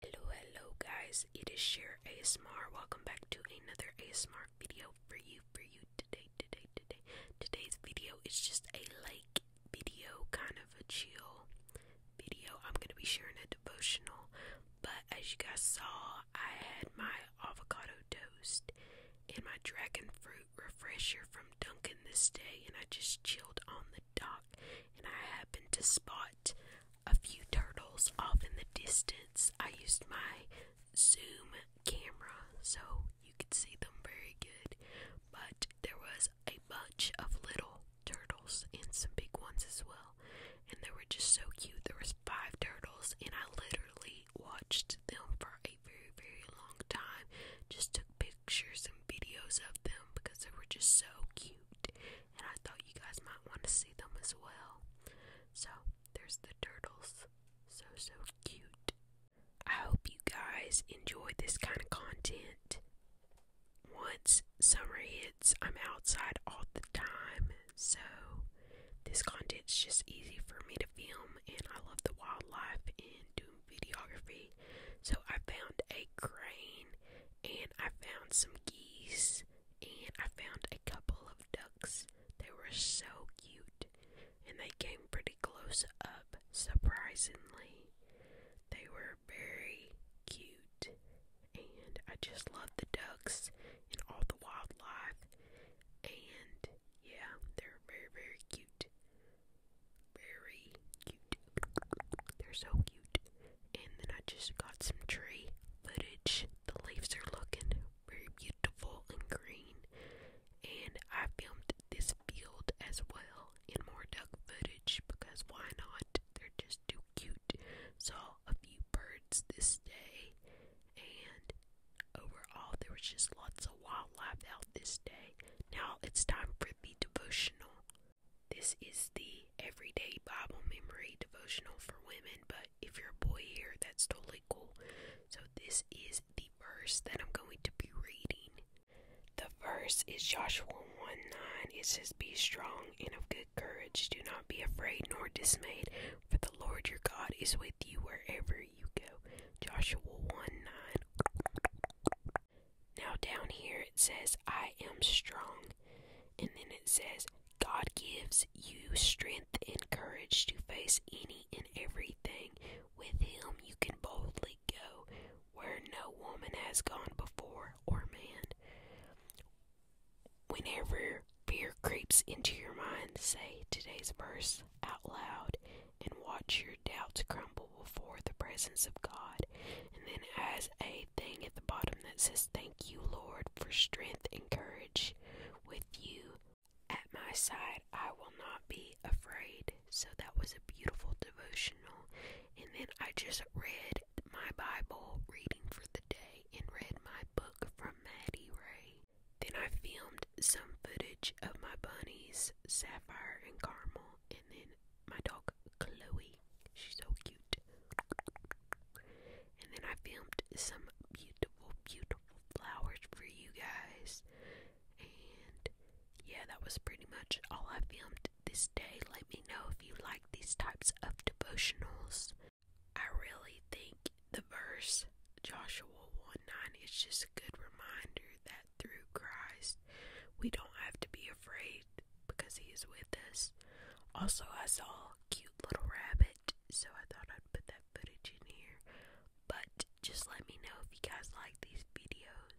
Hello, hello guys, it is Share ASMR. Welcome back to another ASMR video for you, for you today, today, today. Today's video is just a like video, kind of a chill video. I'm going to be sharing a devotional, but as you guys saw, I had my avocado toast and my dragon fruit refresher from Dunkin' this day, and I just chilled on the the and I happened to spot a few turtles off in the distance. I used my zoom camera so you could see them very good, but there was a bunch of little turtles and some big ones as well, and they were just so cute. There was five turtles, and I literally watched them for very, very long time. Just took pictures and videos of them because they were just so cute. And I thought you guys might want to see them as well. So, there's the turtles. So, so cute. I hope you guys enjoy this kind of content. Once summer hits, I'm outside all the time. So, this content's just easy for me to film and I love the wildlife and doing videography. So I found a crane and I found some geese and I found a couple of ducks. They were so cute and they came pretty close up, surprisingly. They were very cute and I just love the ducks and all the wildlife and yeah, they're very, very cute. Very cute. They're so cute. And then I just got some tree footage. The leaves are looking very beautiful and green. And I filmed this field as well in more duck footage because why not? They're just too cute. Saw a few birds this day and overall there was just lots of wildlife out this day. Now it's time for the devotional. This is the everyday Bible memory devotional for women, but if you're a boy here, that's totally cool. So this is the verse that I'm going to be reading. The verse is Joshua 1:9. It says, Be strong and of good courage. Do not be afraid nor dismayed, for the Lord your God is with you wherever you go. Joshua 1 9. Now, down here it says, I am strong. And then it says, God gives you strength and courage to face any and everything. With Him, you can boldly go where no woman has gone before or man. Whenever fear creeps into your mind, say today's verse out loud and watch your doubts crumble before the presence of God. And then, as a thing at the bottom that says, Thank you, Lord, for strength and courage with you at my side, I will not be afraid. So that was a beautiful devotional. And then I just read my Bible reading for the day and read my book from Maddie Ray. Then I filmed some footage of my bunnies, Sapphire and Caramel, and then my dog Chloe. She's so cute. And then I filmed some beautiful, beautiful flowers for you guys. And yeah, that was pretty much all I filmed this day. Let me know if you like these types of devotionals. I really think the verse Joshua 1 9 is just a good reminder that through Christ we don't have to be afraid because He is with us. Also, I saw a cute little rabbit, so I thought I'd put that footage in here. But just let me know if you guys like these videos.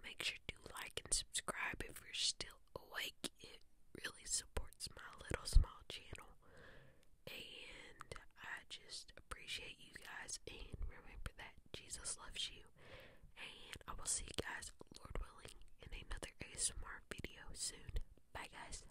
Make sure to like and subscribe if you're still awake. It really supports my little small channel. And I just appreciate you guys. And remember that Jesus loves you. And I will see you guys, Lord willing, in another ASMR video soon. Bye, guys.